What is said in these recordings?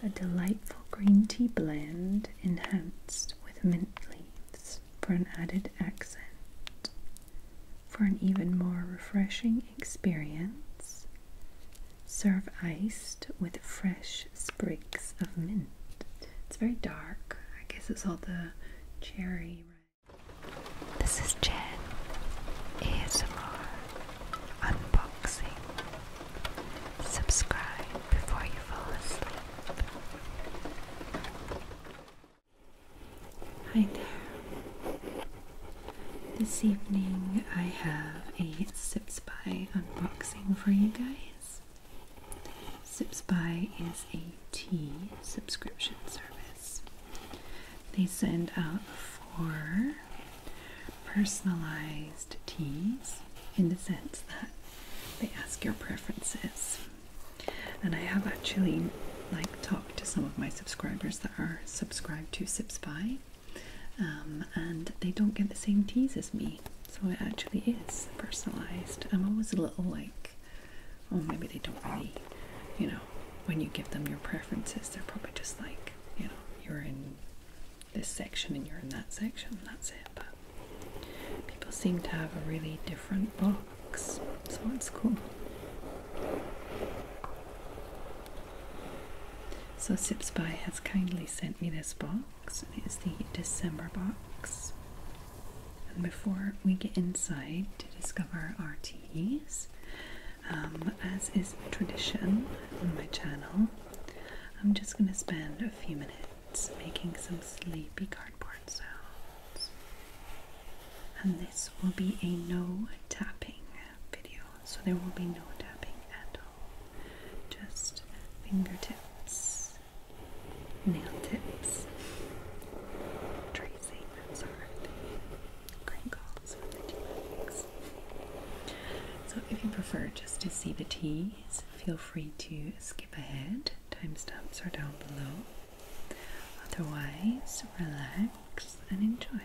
A delightful green tea blend enhanced with mint leaves for an added accent. For an even more refreshing experience, serve iced with fresh sprigs of mint. It's very dark. I guess it's all the cherry. This is Jen ASMR unboxing. Subscribe before you fall asleep. Hi there. This evening I have a Sips by unboxing for you guys. ZipSpy is a tea subscription service. They send out four personalized teas in the sense that they ask your preferences. And I have actually like talked to some of my subscribers that are subscribed to SipSpy um, and they don't get the same teas as me. So it actually is personalized. I'm always a little like, oh, maybe they don't really, you know, when you give them your preferences, they're probably just like, you know, you're in this section and you're in that section, that's it. But people seem to have a really different box, so it's cool. So Sipspy has kindly sent me this box box, and the December box. And before we get inside to discover our teas, um, as is tradition on my channel, I'm just going to spend a few minutes making some sleepy cardboard sounds. And this will be a no tapping video, so there will be no tapping at all, just fingertips nail tips, tracing, crinkles for the tea So if you prefer just to see the teas, feel free to skip ahead. Timestamps are down below. Otherwise, relax and enjoy.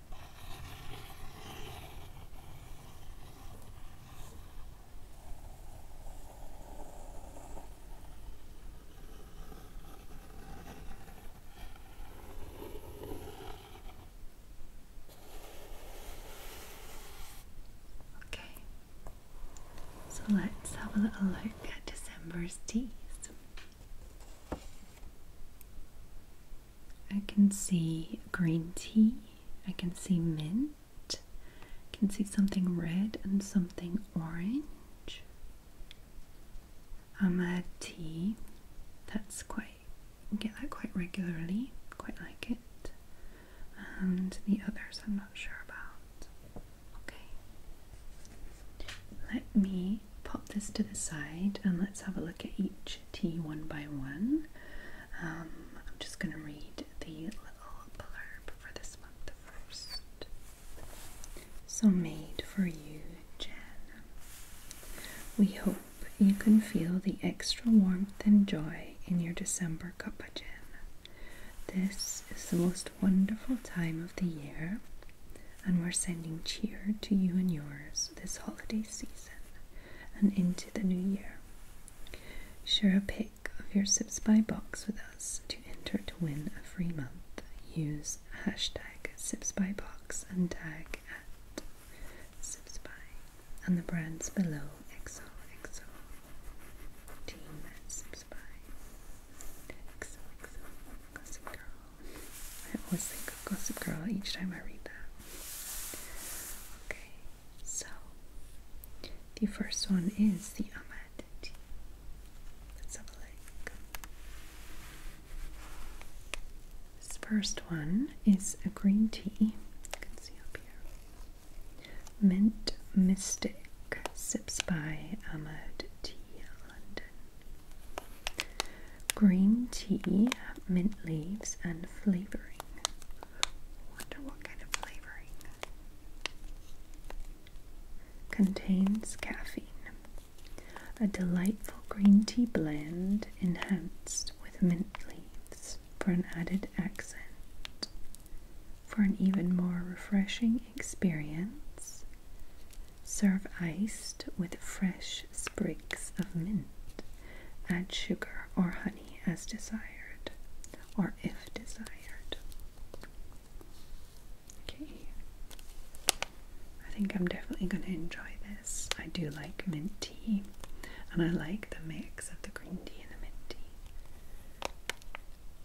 Okay, so let's have a little look at December's teas. I can see green tea, I can see mint, I can see something red and something orange. Ahmad tea, that's quite, you get that quite regularly, quite like it. And the others I'm not sure about. Okay. Let me pop this to the side and let's have a look at each tea one by one. Um, I'm just going to read the little blurb for this month first. So, made for you, Jen. We hope you can feel the extra warmth and joy in your December cup of This is the most wonderful time of the year and we're sending cheer to you and yours this holiday season and into the new year. Share a pic of your Sips by Box with us to enter to win a free month. Use hashtag Sips by Box and tag at Sips and the brands below XOXO team at Sips by XOXO Girl. I always think of Gossip Girl each time I read that. Okay, so the first one is the Ahmad tea. Let's have a look. This first one is a green tea. You can see up here. Mint Mystic Sips by Ahmad T. London. Green tea, mint leaves, and flavoring. Wonder what kind of flavoring. Contains caffeine. A delightful green tea blend enhanced with mint leaves for an added accent. For an even more refreshing experience, Serve iced with fresh sprigs of mint. Add sugar or honey as desired, or if desired. Okay. I think I'm definitely going to enjoy this. I do like mint tea, and I like the mix of the green tea and the mint tea.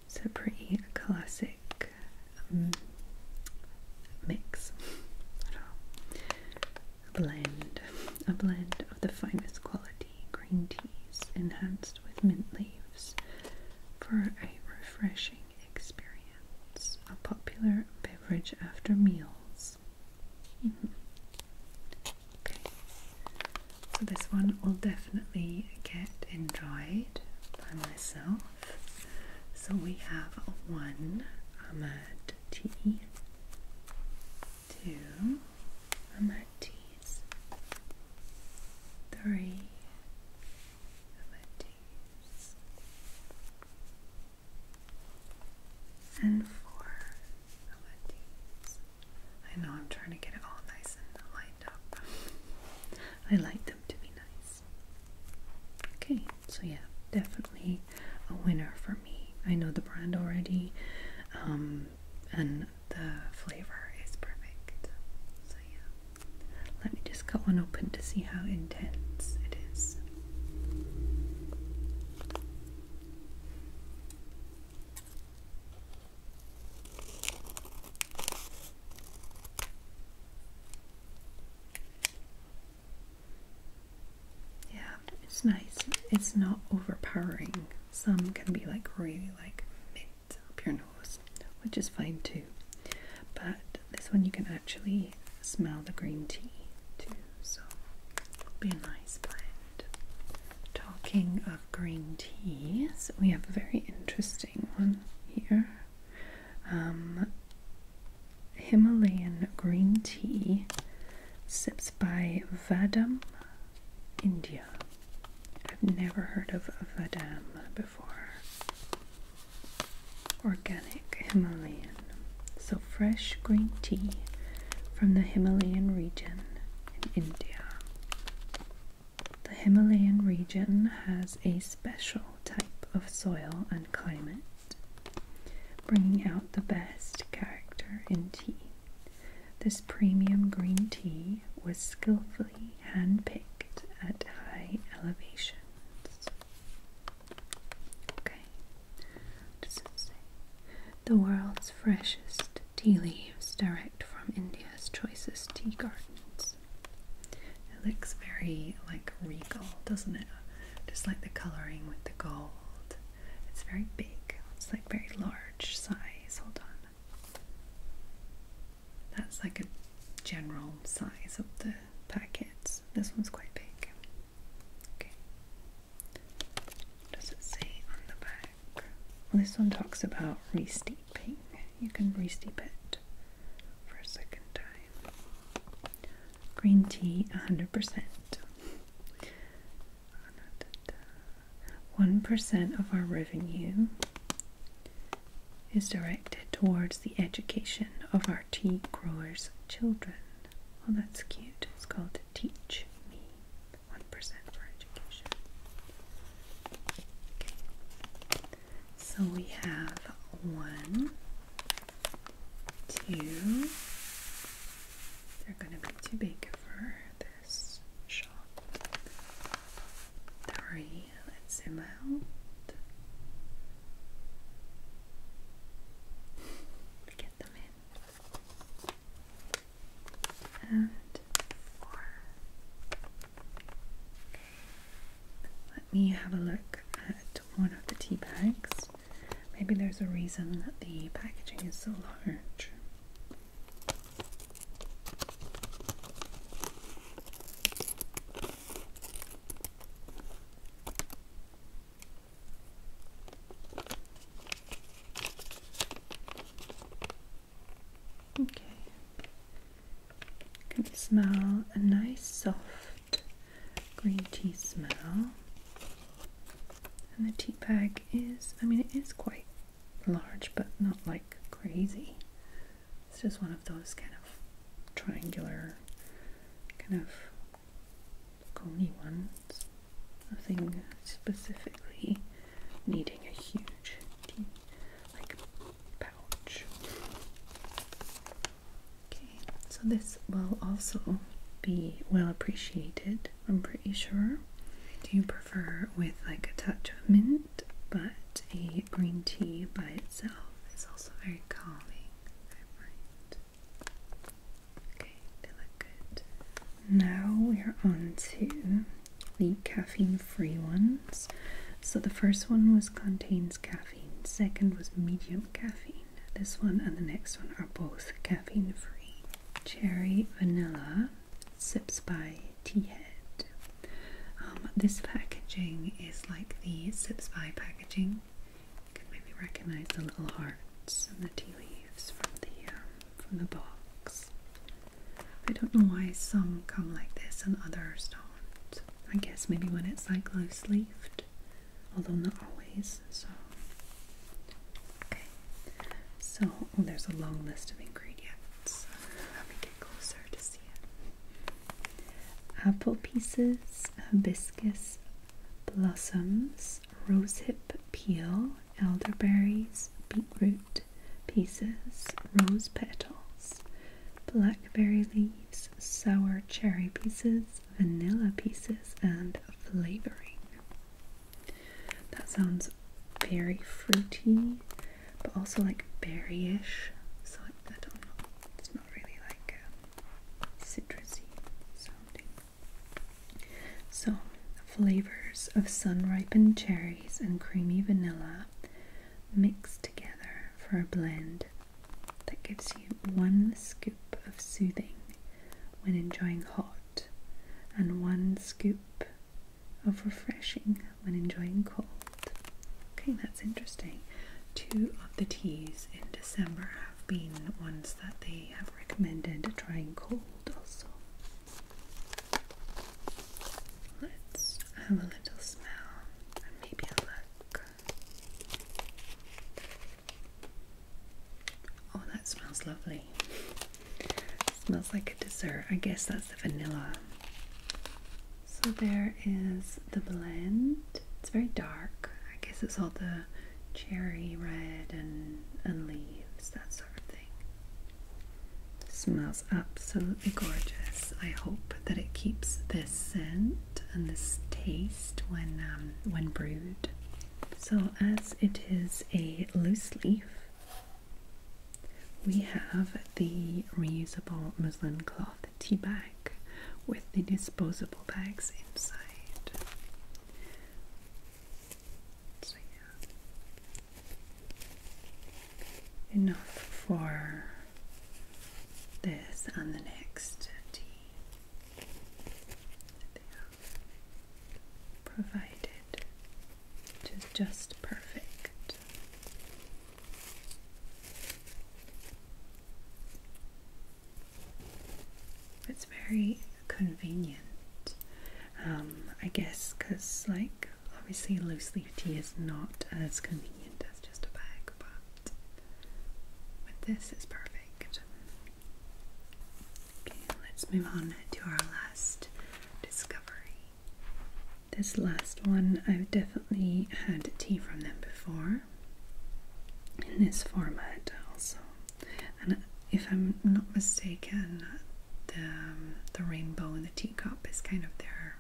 It's a pretty classic um, mix. blend, a blend of the finest quality green teas enhanced with mint leaves for a refreshing experience. A popular beverage after meals. Mm-hmm. Okay, so this one will definitely get enjoyed by myself. So we have one Ahmed. T two three and four I know I'm trying to get it all nice and lined up. I like them to be nice. Okay, so yeah, definitely a winner for me. I know the brand already, um, and the flavor is perfect. So yeah, let me just cut one open to see how intense it is. Yeah, it's nice. It's not overpowering. Some can be like really like mint up your nose, which is fine too. But this one you can actually smell the green tea too, so it'll be a nice blend. Talking of green teas, we have a very interesting one here. Um, Himalayan green tea, sips by Vadam, India. I've never heard of Vadam before. Organic Himalayan. So, fresh green tea from the Himalayan region in India. The Himalayan region has a special type of soil and climate bringing out the best character in tea. This premium green tea was skillfully handpicked at high elevations. Okay, what say? The world's freshest tea leaves direct from India's choicest tea gardens. It looks very like regal, doesn't it? just like the coloring with the gold. It's very big. It's like very large size. Hold on. That's like a general size of the packets. This one's quite big. Okay. Does it say on the back? this one talks about re-steeping. You can re-steep it for a second time green tea 100%. 1% of our revenue is directed towards the education of our tea growers' children. Oh, that's cute. It's called Teach Me. 1% for education. Okay. So we have one, two. They're going to be too big for this shot. Three. Let's zoom out. Get them in. And four. Okay. Let me have a look at one of the tea bags. Maybe there's a reason that the packaging is so large. Okay. Can smell a nice soft green tea smell. And the tea bag is, I mean, it is quite large, but not like crazy. It's just one of those kind of triangular, kind of coney ones. Nothing specifically needing a huge tea, like Okay, so this will also be well appreciated, I'm pretty sure. I do prefer with like a touch of mint, but a green tea by itself is also very calming, I find. Okay, they look good. Now we're on to the caffeine free ones. So the first one was contains caffeine, second was medium caffeine. This one and the next one are both caffeine free. Cherry vanilla sips by tea head. Um, this packaging is like the sips by packaging. You can maybe recognize the little hearts and the tea leaves from the um, from the box. I don't know why some come like this and others don't. I guess maybe when it's like low sleeved, although not always. So, okay. So, oh, there's a long list of ingredients. Let me get closer to see it. Apple pieces, hibiscus blossoms, rosehip peel, elderberries, beetroot pieces, rose petals, blackberry leaves, sour cherry pieces, vanilla pieces, and flavoring. That sounds very fruity, but also like berryish. So I, I don't know. It's not really like um, citrusy sounding. So flavors of sun ripened cherries and creamy vanilla mixed together for a blend that gives you one scoop of soothing when enjoying hot and one scoop of refreshing when enjoying cold. Okay, that's interesting. Two of the teas in December have been ones that they have recommended trying cold also. Let's have a little smell and maybe a look. Oh, that smells lovely. smells like a dessert. I guess that's the vanilla. So there is the blend. It's very dark. I guess it's all the cherry red and, and leaves, that sort of thing. Smells absolutely gorgeous. I hope that it keeps this scent and this taste when um, when brewed. So as it is a loose leaf, we have the reusable muslin cloth tea bag with the disposable bags inside. Enough for this on the next tea They are provided to just perfect. It's very convenient. Um, I guess because like obviously loose leaf tea is not as convenient as just a bag, but this is perfect. Okay, let's move on to our last discovery. This last one, I've definitely had tea from them before in this format also. And if I'm not mistaken, the, um, the rainbow in the teacup is kind of their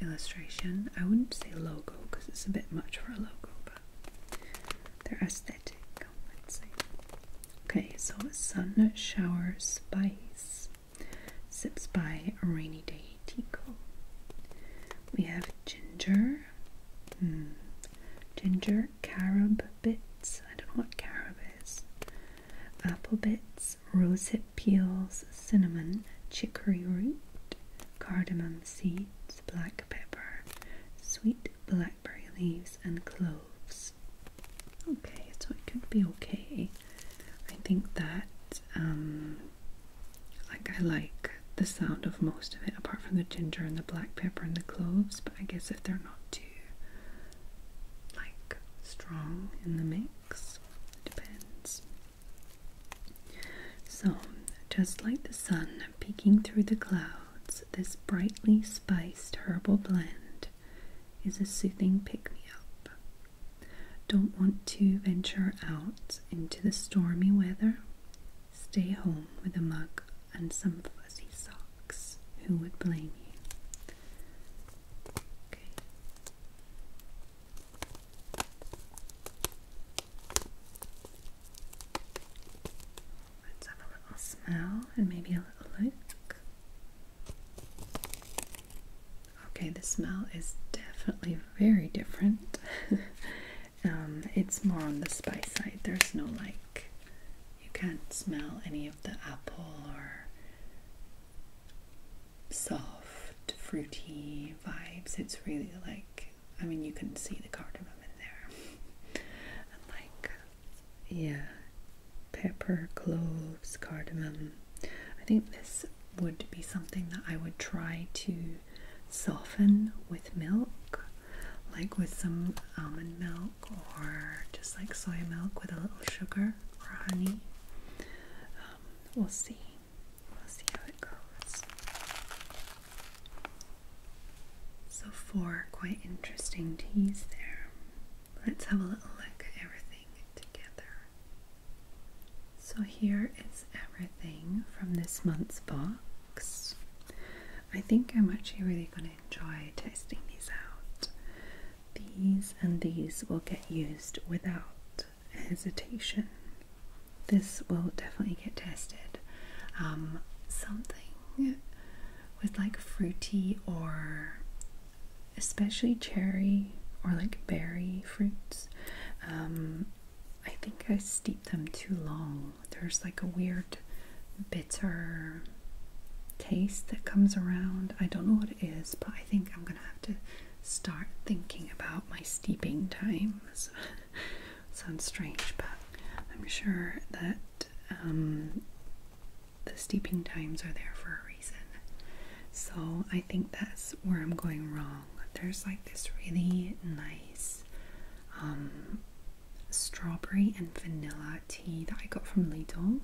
illustration. I wouldn't say logo because it's a bit much for a logo, but they're aesthetic. Let's see. Okay, so sun, shower, spice. Sips by rainy day tico. We have ginger. Hmm. Ginger, carob bits. I don't know what carob is. Apple bits, rosehip peels, cinnamon, chicory root, cardamom seeds, black pepper, sweet blackberry leaves, and cloves. Okay, so it could be okay. I think that, um, like, I like the sound of most of it, apart from the ginger and the black pepper and the cloves, but I guess if they're not too, like, strong in the mix, it depends. So, just like the sun peeking through the clouds, this brightly spiced herbal blend is a soothing pick me up. Don't want to venture out into the stormy weather? Stay home with a mug and some fuzzy socks. Who would blame you? Let's have a little smell and maybe a little look. Okay, the smell is definitely very different. Um, it's more on the spice side. There's no like, you can't smell any of the apple or soft, fruity vibes. It's really like, I mean, you can see the cardamom in there. like, yeah, pepper, cloves, cardamom. I think this would be something that I would try to soften with milk, like with some almond milk or just like soy milk with a little sugar or honey. Um, we'll see. We'll see how it goes. So, four quite interesting teas there. Let's have a little look at everything together. So, here is everything from this month's box. I think I'm actually really going to enjoy testing these out. These and these will get used without hesitation. This will definitely get tested. Um, something with like fruity or especially cherry or like berry fruits. Um, I think I steep them too long. There's like a weird bitter taste that comes around. I don't know what it is, but I think I'm gonna have to start thinking about my steeping times. Sounds strange, but I'm sure that um, the steeping times are there for a reason. So I think that's where I'm going wrong. There's like this really nice um, strawberry and vanilla tea that I got from Lidl.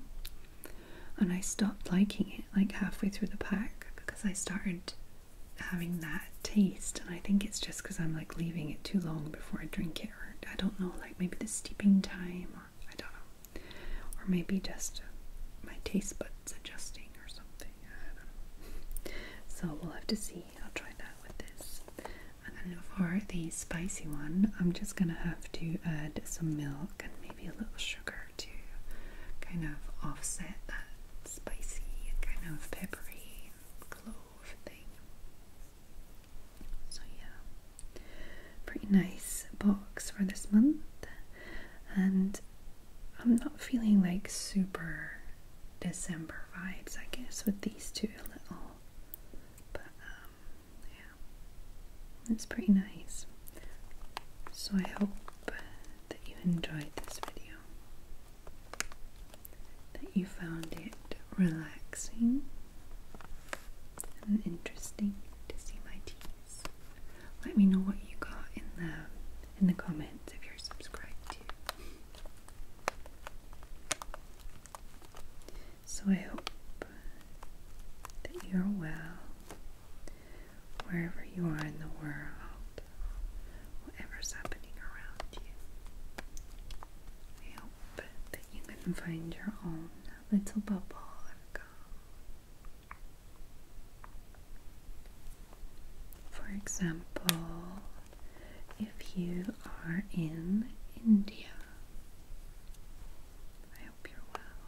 And I stopped liking it like halfway through the pack because I started having that taste and I think it's just because I'm like leaving it too long before I drink it or I don't know like maybe the steeping time or I don't know or maybe just my taste buds adjusting or something so we'll have to see I'll try that with this and then for the spicy one I'm just gonna have to add some milk and maybe a little sugar to kind of offset that spicy, kind of peppery clove thing. So, yeah, pretty nice box for this month, and I'm not feeling like super December vibes, I guess, with these two a little, but um, yeah, it's pretty nice. So, I hope that you enjoyed this video, that you found it relaxing and interesting to see my teeth. Let me know what you got in the in the comments if you're subscribed to. So I hope that you're well wherever you are in the world, whatever's happening around you. I hope you can find your own little bubble For example, if you are in India, I hope you're well.